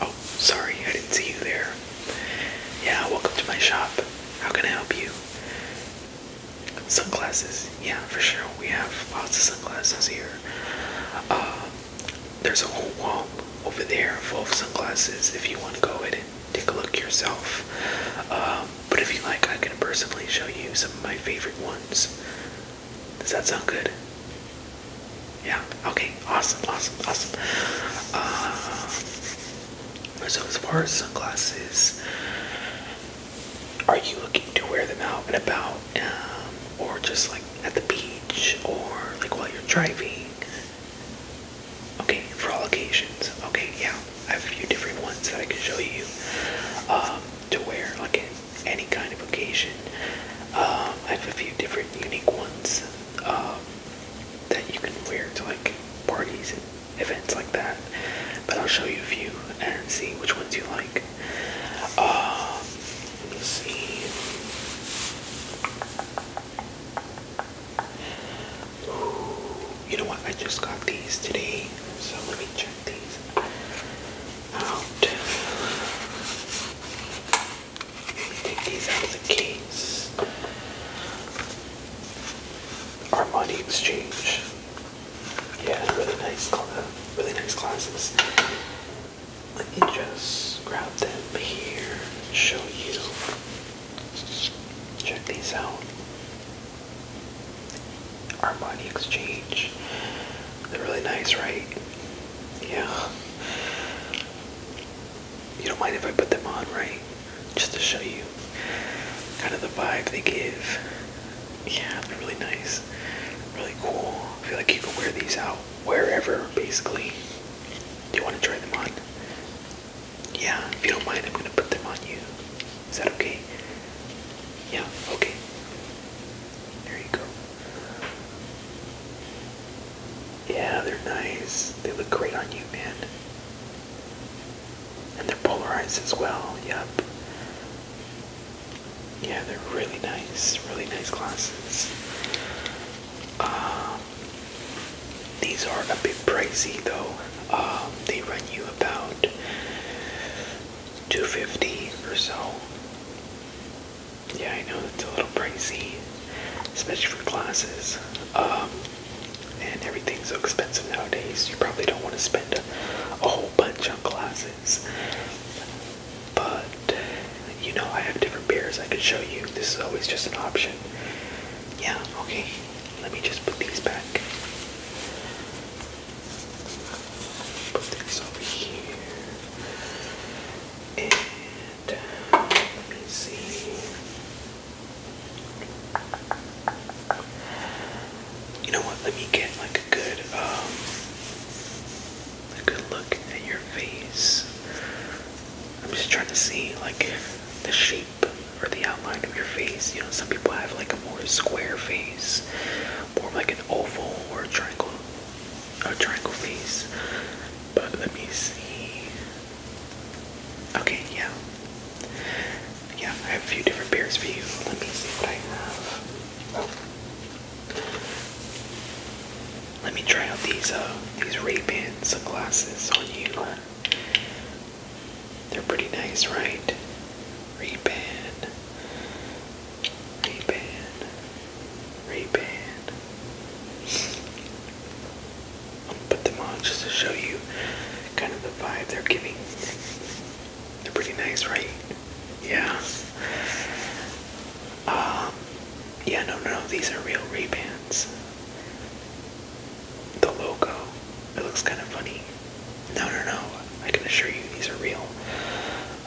Oh, sorry, I didn't see you there. Yeah, welcome to my shop. How can I help you? Sunglasses, yeah, for sure. We have lots of sunglasses here. Uh, there's a whole wall over there full of sunglasses if you want to go ahead take a look yourself. Um, but if you like, I can personally show you some of my favorite ones. Does that sound good? Yeah. Okay. Awesome. Awesome. Awesome. Uh, so as far as sunglasses, are you looking to wear them out and about, um, or just like at the beach, or like while you're driving? Okay, for all occasions. Okay, yeah, I have a few different ones that I can show you um, to wear, like any kind of occasion. Um, I have a few different unique ones um, that you can wear to like parties and events like that. But I'll show you a few and see which ones you like. let me see. You know what? I just got these today, so let me check these out. Take these out of the case. Our money exchange. Yeah, really nice, really nice glasses let me just grab them here and show you. Check these out. Our money Exchange. They're really nice, right? Yeah. You don't mind if I put them on, right? Just to show you kind of the vibe they give. Yeah, they're really nice. Really cool. I feel like you could wear these out wherever, basically. Do you want to try them on? Yeah, if you don't mind, I'm gonna put them on you. Is that okay? Yeah, okay. There you go. Yeah, they're nice. They look great on you, man. And they're polarized as well, yep yeah, they're really nice, really nice glasses. Um, these are a bit pricey though. Um, they run you about 250 or so. Yeah, I know it's a little pricey, especially for glasses. Um, and everything's so expensive nowadays. You probably don't want to spend a whole bunch on glasses. But you know, I have different beers I could show you. This is always just an option. Yeah, okay. Let me just put these back. Put these over here. And let me see. You know what? Let me get like a good um, a good look at your face. I'm just trying to see like the shape or the outline of your face. You know, some people have like a more square face, more like an oval or a triangle, a triangle face. But let me see. Okay, yeah. Yeah, I have a few different pairs for you. Let me see what I have. Let me try out these uh these Ray-Ban sunglasses on you. They're pretty nice, right? Ray-Ban, Ray-Ban, Ray-Ban. I'll put them on just to show you kind of the vibe they're giving. They're pretty nice, right? Yeah. Um, yeah, no, no, these are real Ray-Bans. The logo, it looks kind of funny. No, no, no, I can assure you these are real.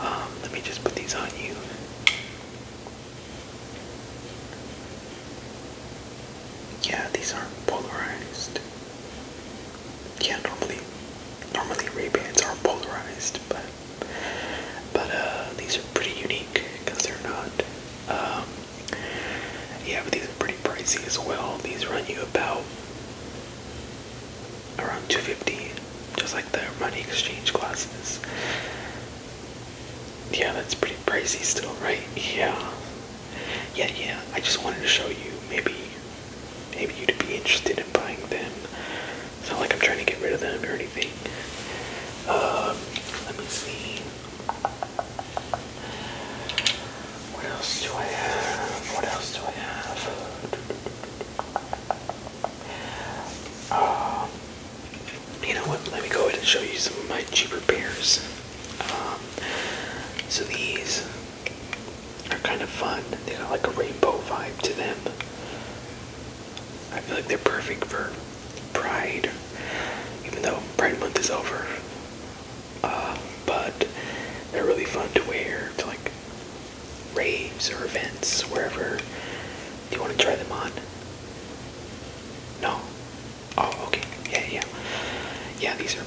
Um, let me just put these on you. Yeah, these aren't polarized yeah, normally, normally Ray-Bans are polarized, but, but, uh, these are pretty unique, because they're not, um, yeah, but these are pretty pricey as well. These run you about around 250 just like the money exchange glasses. Yeah, that's pretty pricey still, right? Yeah. Yeah, yeah. I just wanted to show you maybe maybe you'd be interested in buying them. It's not like I'm trying to get rid of them or anything. Um, let me see. What else do I have? What else do I have? Um, you know what? Let me go ahead and show you some of my cheaper pairs. Um, so these are kind of fun. They got like a rainbow vibe to them. I feel like they're perfect for Pride, even though Pride Month is over. Uh, but they're really fun to wear to like raves or events, wherever. Do you want to try them on? No? Oh, okay. Yeah, yeah. Yeah, these are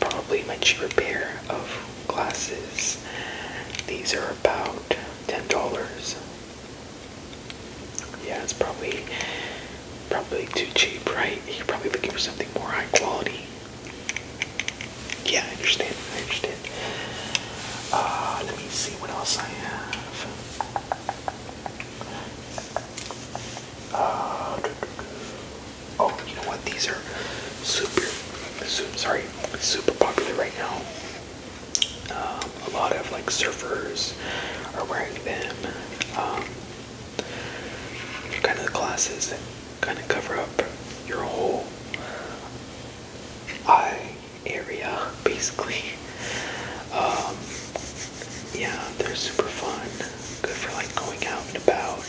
probably my cheaper pair of glasses. These are about $10. Yeah, it's probably probably too cheap, right? You're probably looking for something more high quality. Yeah, I understand. I understand. Uh, let me see what else I have. Uh, Oh, you know what? These are super, sorry, super popular right now. Um, a lot of like surfers are wearing them. Um, kind of the glasses that kind of cover up your whole eye area, basically. Um, yeah, they're super fun. Good for like going out and about,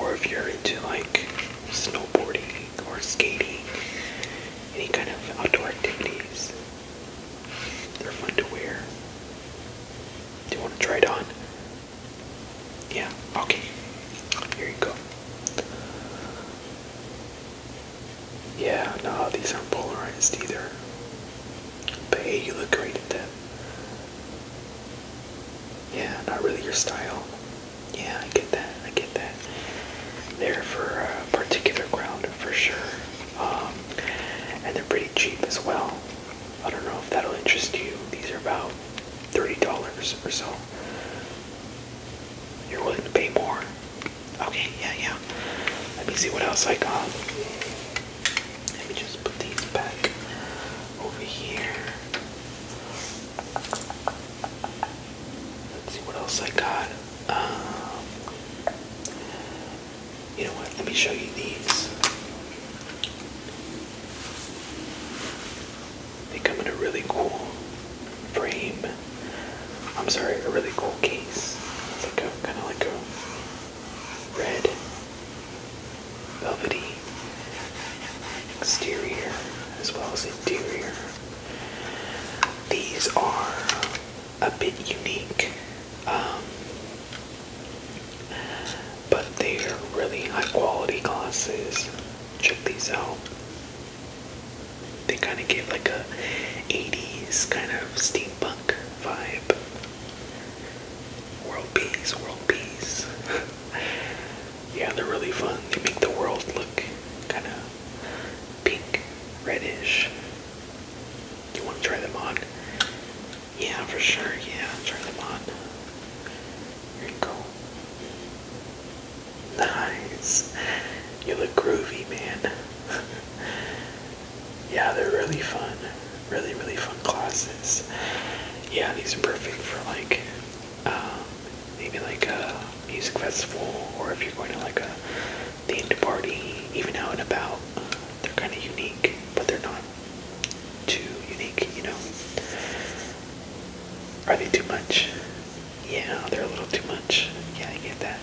or if you're into like snowboarding or skating, any kind of outdoor activities. They're fun to wear. Do you want to try it on? Yeah, okay. Here you go. Yeah, no, these aren't polarized either. But hey, you look great in that. Yeah, not really your style. Yeah, I get that. I get that. They're for a particular ground for sure. Um, and they're pretty cheap as well. I don't know if that'll interest you. These are about $30 or so. You're willing to pay more? Okay, yeah, yeah. Let me see what else I got. Let me just put these back over here. Let's see what else I got. Um, you know what? Let me show you these. They come in a really cool frame. I'm sorry, a really cool case. It's like a kind of like a red velvety exterior as well as interior. These are a bit unique, um, but they are really high quality glasses. Check these out they kind of gave like a 80s kind of steampunk vibe. World peace, world peace. yeah, they're really fun. They make the world look kind of pink, reddish. You want to try them on? Yeah, for sure. Yeah, try them on. Here you go. Nice. You look groovy, man. yeah, they're really fun. Really, really fun classes. Yeah, these are perfect for like um, maybe like a music festival or if you're going to like a themed party, even out and about. they're kind of unique, but they're not too unique, you know? Are they too much? yeah, they're a little too much. Yeah, I get that.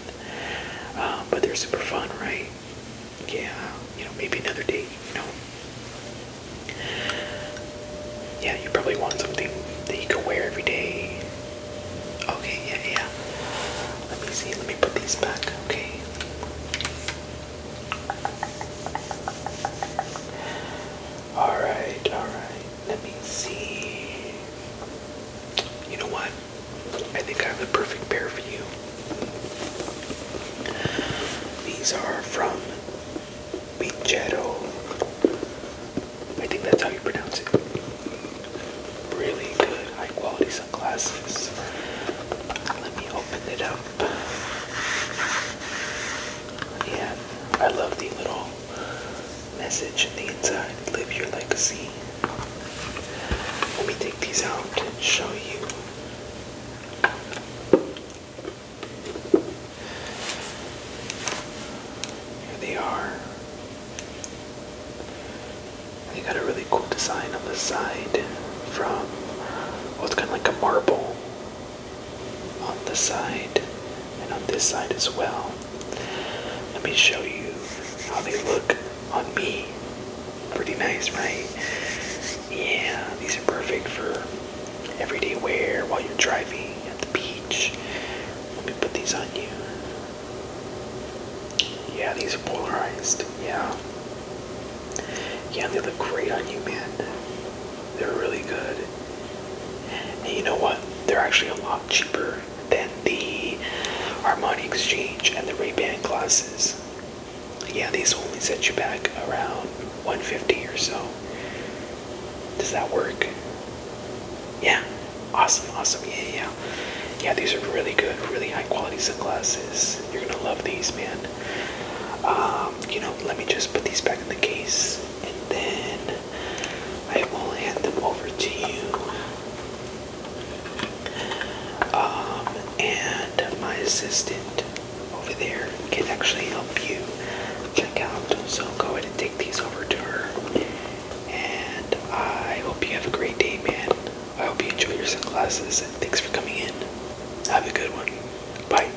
Um, but they're super fun, right? Yeah, you know, maybe another day, you know. Yeah, you probably want something that you can wear every day. Okay, yeah, yeah. Let me see, let me put these back, okay? Alright, alright. Let me see you know what? I think I have the perfect pair for you. These are from Bigetto. I think that's how you pronounce it. Really good, high quality sunglasses. Let me open it up. Yeah, I love the little message in the inside. Live your legacy. Let me take these out and show you. Here they are. They got a really cool design on the side from, well, it's kind of like a marble on the side and on this side as well. Let me show you how they look on me. Pretty nice, right? Yeah, these are perfect for everyday wear while you're driving at the beach. Let me put these on you. Yeah, these are polarized. Yeah. Yeah, they look great on you, man. They're really good. And you know what? They're actually a lot cheaper than the Armani Exchange and the Ray-Ban glasses. Yeah, these only set you back around 150 or so. Does that work? Yeah. Awesome, awesome. Yeah, yeah. Yeah, these are really good, really high quality sunglasses. You're gonna love these, man. Um, you know, let me just put these back in the case and then I will hand them over to you. Um, and my assistant over there can actually help you check out. So go ahead and take these over to her. And I hope you have a great day, man. I hope you enjoy your sunglasses and thanks for coming in. Have a good one. Bye.